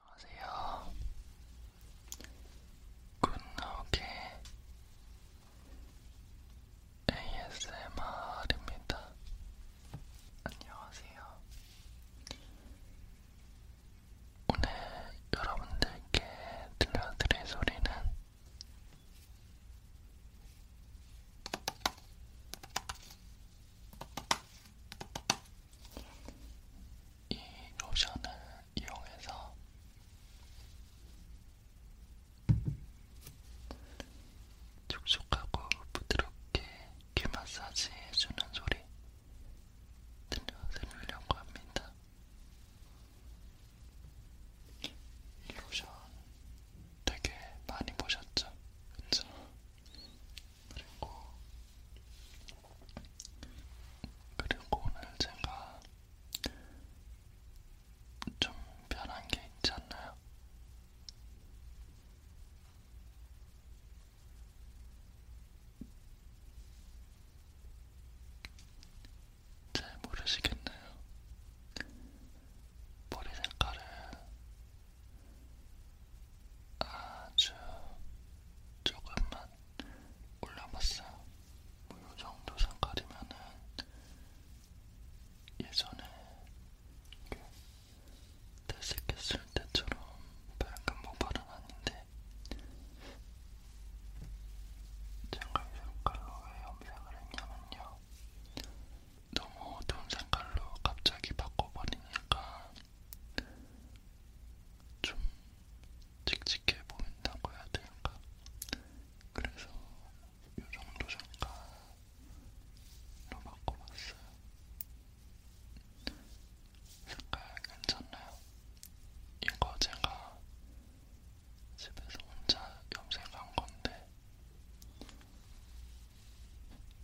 안녕하세요. 굿노게 ASMR입니다. 안녕하세요. 오늘 여러분들께 들려드릴 소리는 이 로션을 이용해서 촉촉하고 부드럽게 귀 마사지 해주는 소리 들려드리려고 합니다. 로션 되게 많이 보셨죠? 그쵸? 그리고 그리고 오늘 제가 좀 변한 게 있지 않나요? 잘 모르시겠나요? 머리 색깔을 아주 조금만 올라봤어요. 뭐이 정도 색깔이면은 예전에 탈색했을 때처럼 밝은 모발은 아닌데 잠깐 색깔로 왜 염색을 했냐면요. 너무 어두운 색깔로 갑자기 바꿔버리니까 좀 칙칙해 보인다고 해야 될까? 그래서 요정도 색깔로 바꿔봤어요. 색깔 괜찮나요? 이거 제가 집에서 혼자 염색한 건데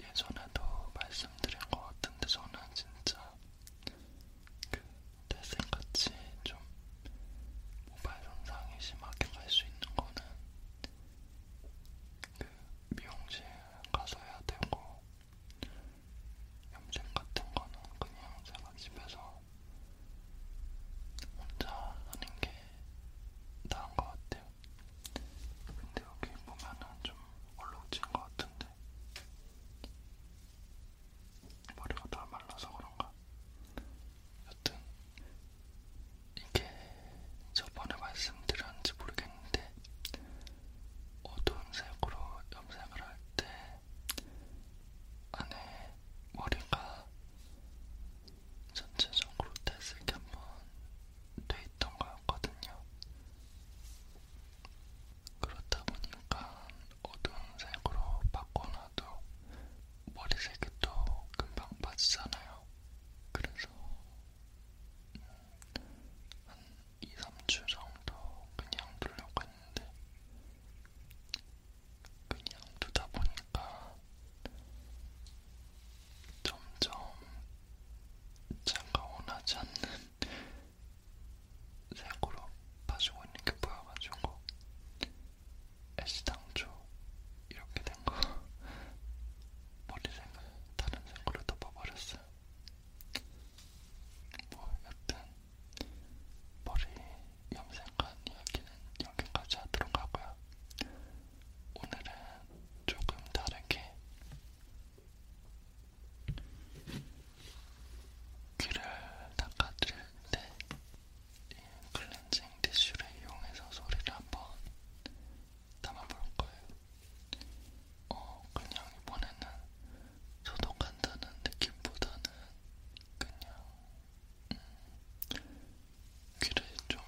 예전에도 말씀드린 것 같은데 저는 진짜 그 태생같이 좀 모발 손상이 심하게 갈 수 있는 거는 그 미용실 가서 해야 되고 염색 같은 거는 그냥 제가 집에서 혼자 하는 게 나은 것 같아요. 근데 여기 보면은 좀 얼룩진 것 같은데 머리가 다 말라서 그런가? 여튼 이게 저번에 말씀드렸는지 모르겠는데 어두운 색으로 염색을 할때 안에 머리가 전체적으로 탈색이 한번 돼있던 거였거든요. 그렇다 보니까 어두운 색으로 바꿔놔도 머리색이 또 금방 빠지잖아요. 그래서 한 2, 3주 정도 그냥 두려고 했는데 그냥 두다 보니까 점점 제가 원하지 않는 색으로 봐주고 있는 게 보여가지고 애시당초 이렇게 된거 머리색을 다른 색으로 덮어버렸어요 뭐 여튼 머리 염색한 이야기는 여기까지 하도록 하고요. 오늘은 조금 다르게 귀를 닦아드릴 때 이 클렌징 티슈를 이용해서 소리를 한번 담아볼 거예요. 어, 그냥 이번에는 소독한다는 느낌보다는 그냥 귀를 좀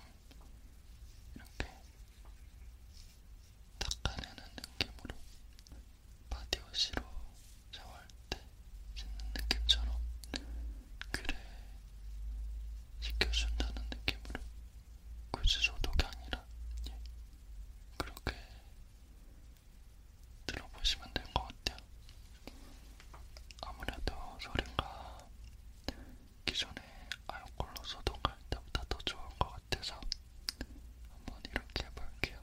이렇게 닦아내는 느낌으로 바디워시로 샤워할 때 씻는 느낌처럼 귀를 씻겨준다는 느낌으로 굳이 소독이 아니라 예. 그렇게 들어보시면 될 것 같아요. 아무래도 소리가 기존에 아이콜로 소독할 때보다 더 좋은 것 같아서 한번 이렇게 해볼게요.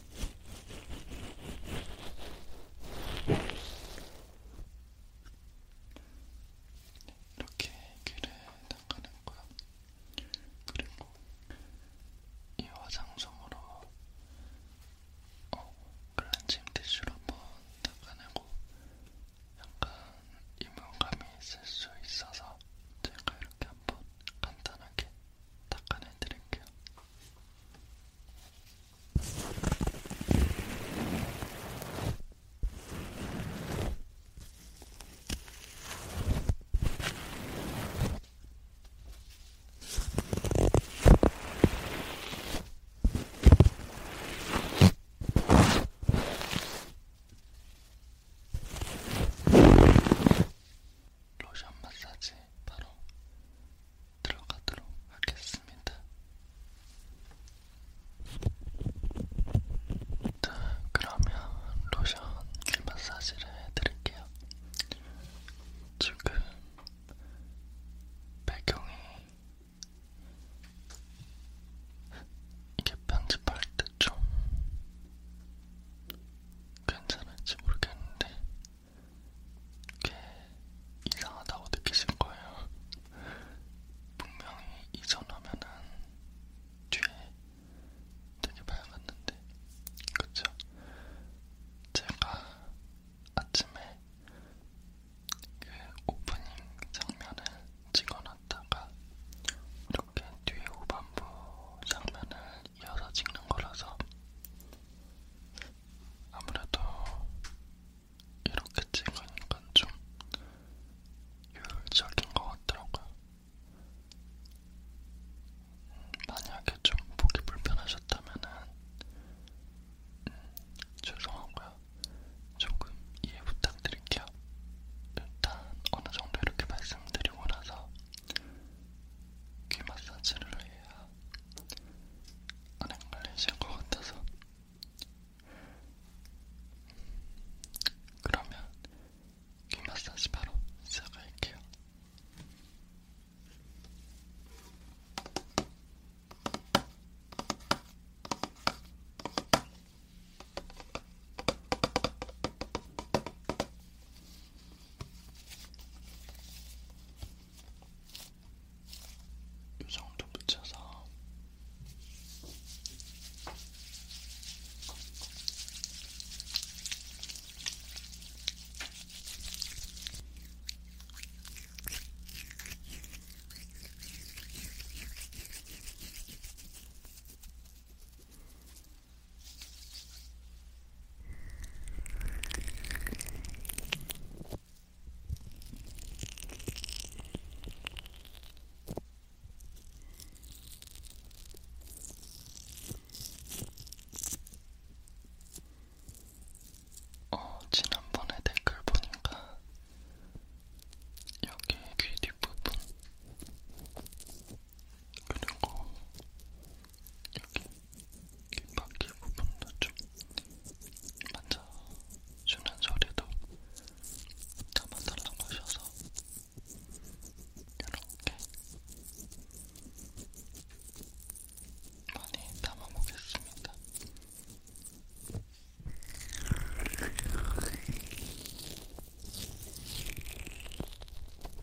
이렇게 귀를 닦아낸 거야. 그리고 이 화장솜으로 어, 클렌징 티슈로 한번 닦아내고 약간 이물감이 있을 수 있어서 제가 이렇게 한번 간단하게 닦아내드릴게요. 로션 마사지 바로 들어가도록 하겠습니다. 자, 그러면 로션 길 마사지를 해드릴게요. 지금 배경이 이게 편집할 때 좀 괜찮을지 모르겠는데 꽤 이상하다고 느끼실 거예요. 분명히 이전 화면은 뒤에 되게 밝았는데, 그쵸? 제가 아침에 그 오프닝 장면을 찍어놨다가 이렇게 뒤에 후반부 장면을 이어서 찍는 거라서 아무래도 이렇게 찍으니까 좀 효율적인 것 같더라고요. 음, 만약에 좀 보기 불편하셨다면은 음, 죄송하고요. 조금 이해 부탁드릴게요. 일단 어느 정도 이렇게 말씀드리고 나서 귀 마사지를 해야 안 헷갈리실 것 같아서 그러면 귀 마사지 바로 시작할게요. 이 정도 붙여서 어, 지난번에 댓글 보니까 여기 귀 뒷부분 그리고 여기 귓바퀴 부분도 좀 만져주는 소리도 담아달라고 하셔서 이렇게 많이 담아보겠습니다.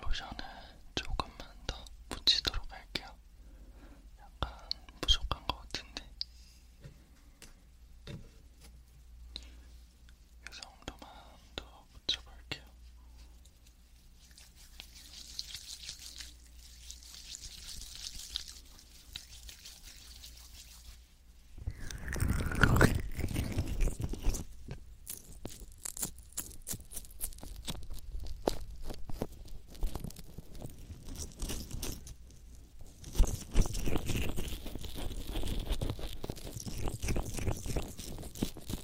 로션을 조금만 더 붙이도록 할게요. 약간 부족한 것 같은데. 이 정도만 더 붙여볼게요.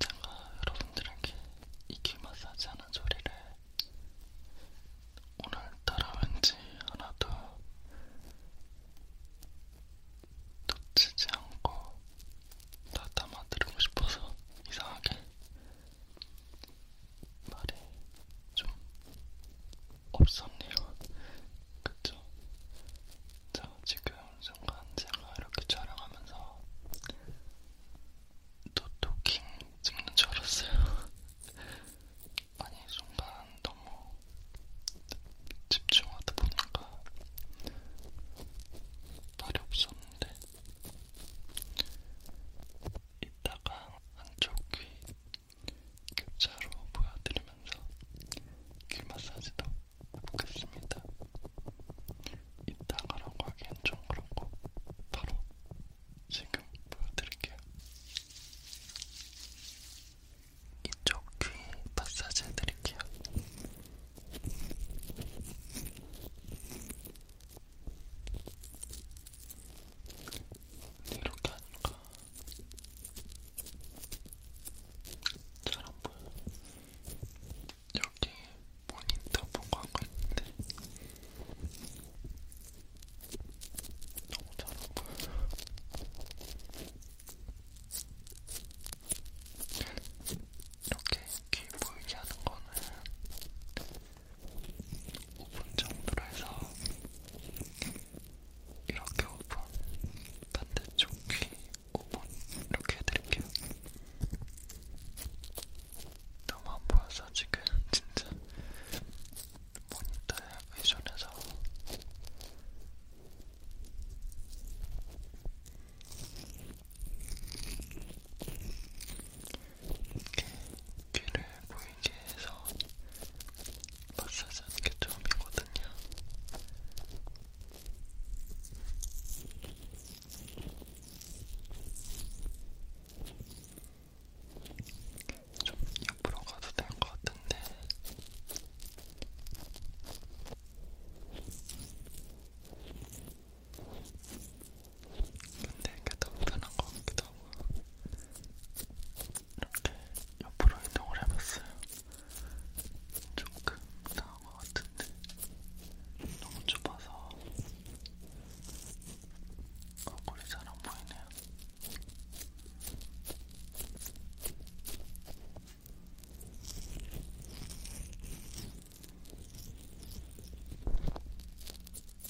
제가 여러분들에게 이귀 마사지 하는 소리를 오늘따라 왠지 하나도 놓치지 않고 다 담아드리고 싶어서 이상하게 말이 좀 없었네요. 그쵸? 자, 지금 순간 제가 이렇게 촬영하면서 노토킹 찍는 줄 알았어요. 아니, 순간 너무 집중하다 보니까 말이 없었는데 이따가 한쪽 귀 격자로 보여드리면서 귀 마사지도 해보겠습니다. 이따가라고 하기엔 좀 그렇고 바로 지금 보여드릴게요. 이쪽 귀 마사지 해드릴게요. 이렇게 하니까 잘안 보여. 여기 모니터 보고 하고 있는데 너무 잘안 보여. 이렇게 귀 보이게 하는 거는 5분 정도로 해서 이렇게 5번, 반대쪽 귀 5번 이렇게 해드릴게요. 너무 안 보여서 지금 진짜 모니터에 의존해서 이렇게 귀를 보여드릴게요. 일기에서 마사지 하는 게 처음이거든요. 좀 옆으로 가도 될 것 같은데. 근데 이게 더 편한 것 같기도 하고 이렇게 옆으로 이동을 해봤어요. 조금 나은 것 같은데 너무 좁아서 얼굴이 잘안 보이네요.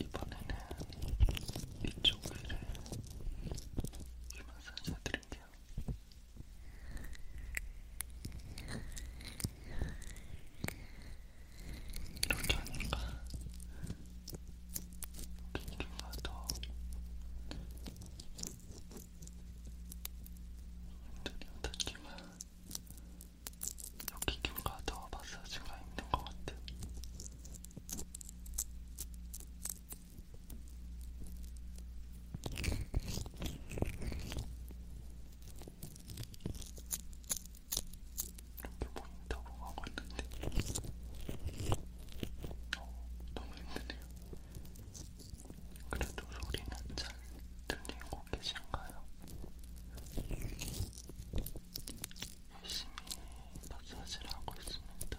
이번에는 이쪽 귀를 마사지 해드릴게요. 이렇게 하니까 두께가 더 힘들이 어떻지만 여기 김과 더 마사지가 힘든 것 같아. 이렇게 모니터보고 하고 있는데 어, 너무 힘드네요. 그래도 소리는 잘 들리고 계신가요? 열심히 마사지를 하고 있습니다.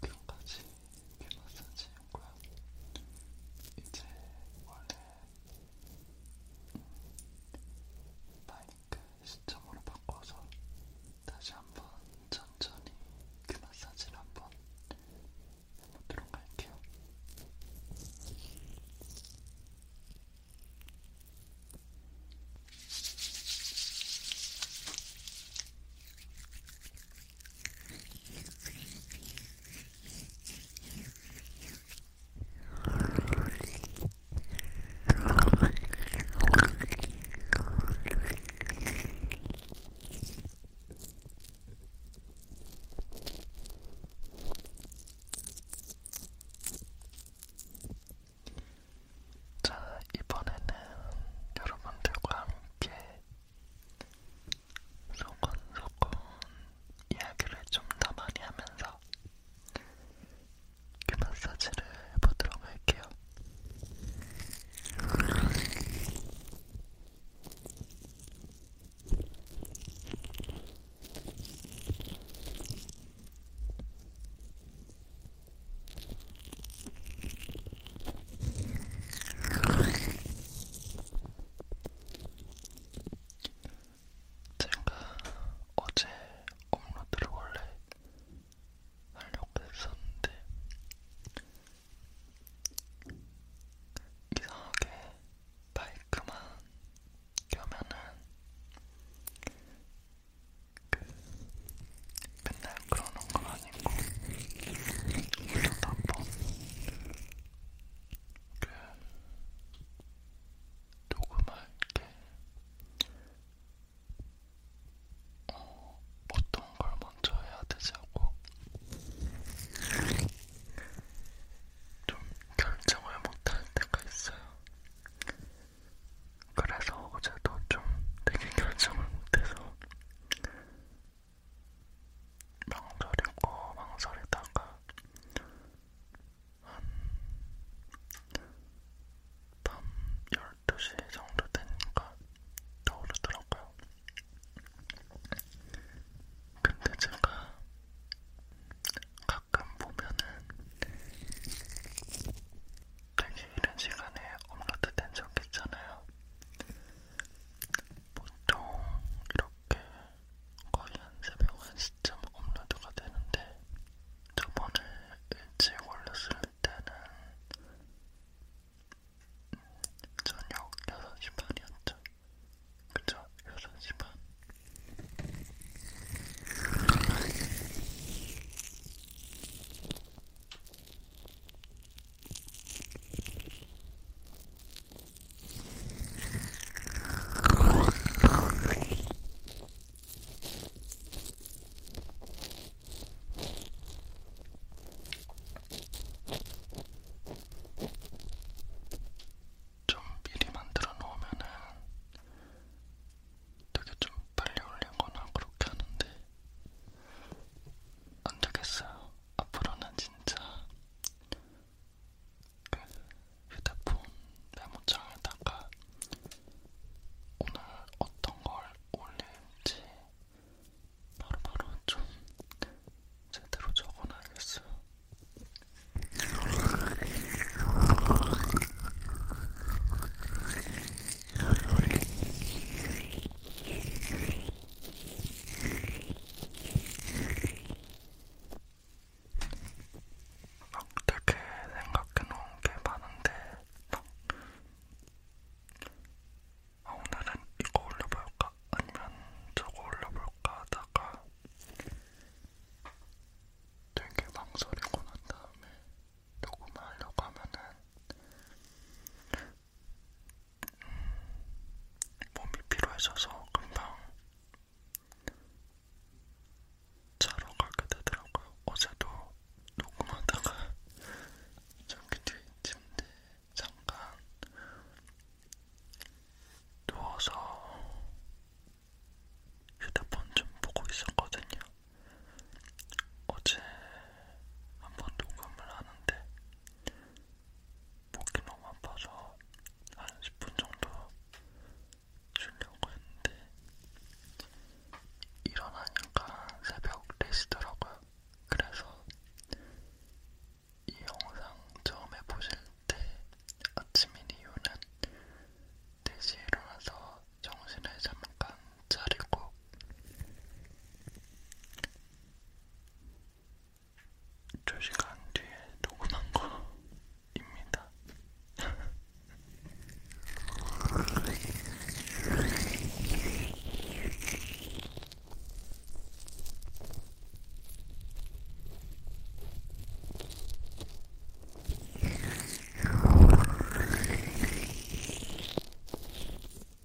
자, 여기까지 귀 마사지 효과 이제 원래 마이크 시점으로 바꿔서 다시 한번 천천히 귀 그 마사지를 한번 해보도록 할게요. 자, 이번에는 여러분들과 함께 소곤소곤 이야기를 좀 더 많이 하면서 귀 그 마사지를 해보도록 할게요. 제가 어제 업로드를 원래 하려고 했었는데 이상하게 마이크만 켜면은 그 맨날 그러는 건 아니고 이것도 한번 그 녹음할 때 어, 어떤 걸 먼저 해야 되지 하고 좀 결정을 못할 때가 있어요. 그래서 어제도 좀 되게 결정을 못해서 망설이고 망설이다가 한 밤 12시 정도 되니까 떠오르더라고요. 근데 제가 가끔 보면은 되게 이른 시간에 업로드 된 적이 있잖아요. 보통 이렇게 거의 한 새벽 1시쯤 업로드가 되는데 저번에 일찍 올렸을 때는 저녁 6시 반이었죠. 그쵸? 6시 반. 좀 미리 만들어 놓으면은 되게 좀 빨리 올리거나 그렇게 하는데 안 되겠어요. 앞으로는 진짜 그 휴대폰 메모장에다가 오늘 어떤 걸 올릴지 바로바로 바로 좀 제대로 적어놔야겠어요. 막 되게 생각해놓은 게 많은데 딱 아, 오늘은 이거 올려볼까? 아니면 저거 올려볼까? 하다가 되게 망설이고 난 다음에 녹음하려고 하면은 몸이 피로해져서 금방 자러 가게 되더라고요. 어제도 녹음하다가 저기 뒤 침대 잠깐 누워서 휴대폰 좀 보고 있었거든요. 어제 한번 녹음을 하는데 목이 너무 아파서 한 10분 정도 쉬려고 했는데 일어나니까 새벽 4시더라고요. 그래서 이 영상 처음에 보실 때 아침인 이유는 4시에 일어나서 정신을 잠깐 차리고 2시간 뒤에 녹음한 거입니다.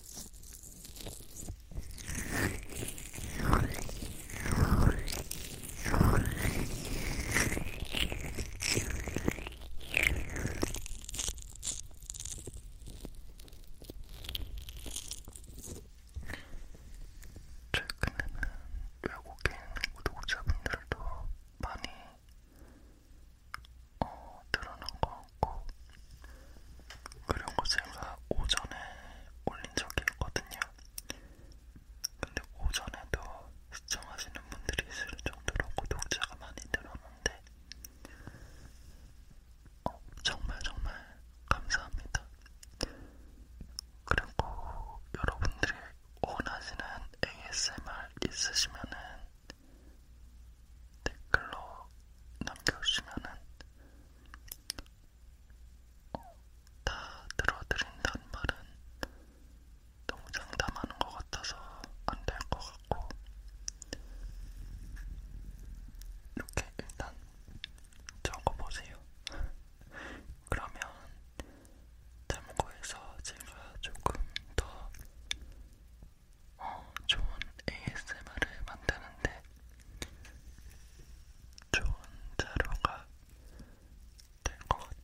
최근에는 외국인 구독자분들도 많이 어, 드러난 것 같고 그런 거 제가 오전에 올린 적이 있거든요. 근데 오전에도 시청하시는 분들이 있을 정도로 구독자가 많이 늘었는데 어, 정말 정말 감사합니다. 그리고 여러분들이 원하시는 ASMR 있으시면은 댓글로 남겨주시면은 어, 다 들어드린다는 말은 너무 장담하는 것 같아서 안 될 것 같고 이렇게 일단 적어보세요. 그러면 참고해서 제가 조금 더 어, 좋은 ASMR을 만드는데 좋은 자료가 될 것 같아요.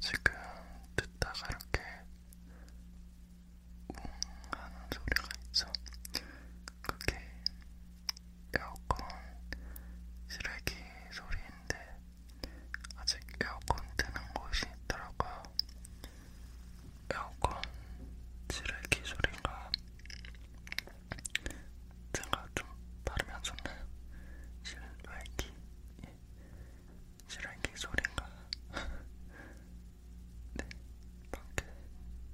지금 듣다가 이렇게 웅 하는 소리가 있죠. 그게 에어컨 쓰레기 소리인데 아직 에어컨 트는 곳이 있더라고요. 에어컨 쓰레기 소리가 제가 좀 발음이 안 좋나요? 쓰레기 쓰레기 소리가 네, 밖에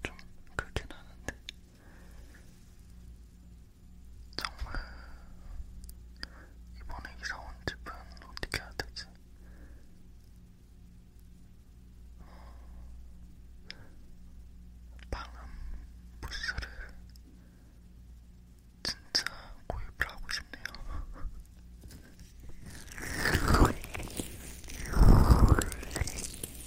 좀 크긴 하는데 정말 이번에 이사 온 집은 어떻게 해야 되지? 방음 부스를 진짜 구입을 하고 싶네요.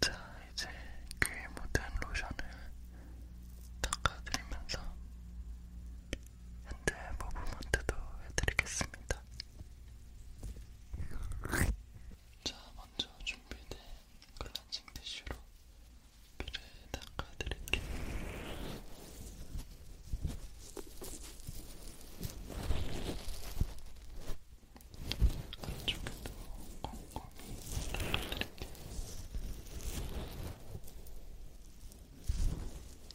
자, 이제 귀에 그 묻은 로션을 닦아드리면서 핸드 모브먼트도 해드리겠습니다. 자, 먼저 준비된 클렌징 티슈로 피를 닦아드릴게요. 안쪽에도 꼼꼼히 닦아드릴게요.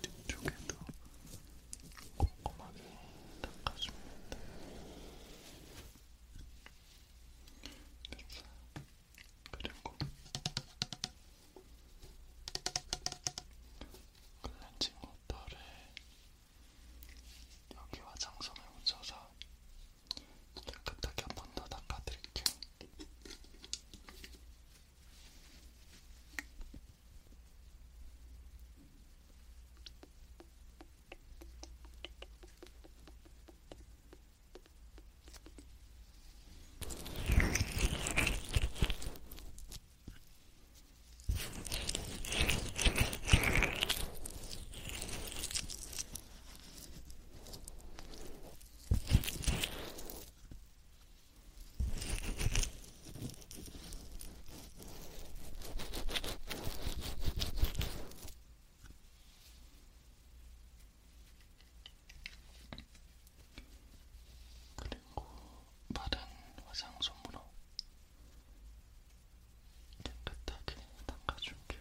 빌트 쪽에도 꼼꼼하게 닦아주면 돼. 됐어. 그리고 클렌징 워터를 여기 화장솜에 묻혀서 깨끗하게 한 번 더 닦아드릴게요. 그리고 마른 화상 손으로 깨끗하게 닦아줄게요.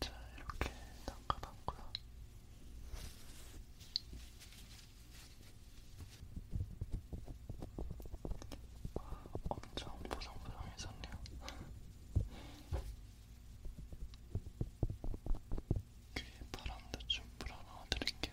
자, 이렇게 담가봤고요. 엄청 보송보송해졌네요. 귀에 바람도 좀 불어넣어드릴게요.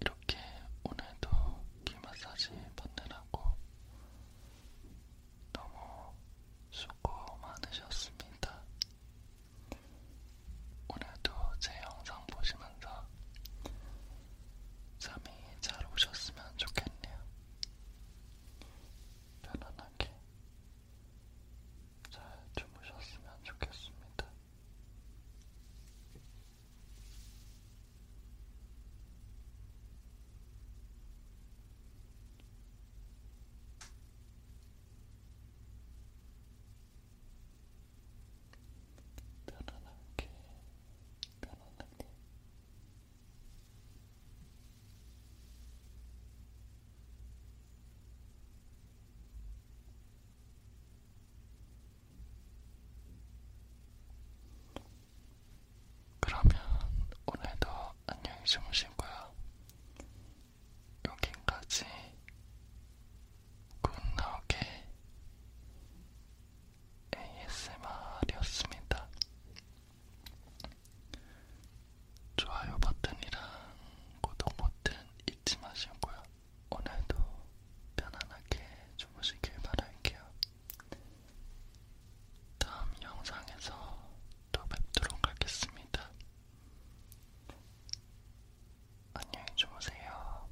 이렇게 오늘도 귀 마사지 받느라고 너무 수고 많으셨습니다. 오늘도 제 영상 보시면서 잠이 잘 오셨으면 좋겠네요. 편안하게 잘 주무셨으면 좋겠습니다. 편안하게 편안하게 그러면 오늘도 안녕히 주무시고요. 여기까지 굿나오게 ASMR이었습니다. 좋아요 버튼이랑 구독 버튼 잊지 마시고요. 오늘도 편안하게 주무시길 바랄게요. 다음 영상에서 또 뵙도록 하겠습니다. 안녕히 주무세요.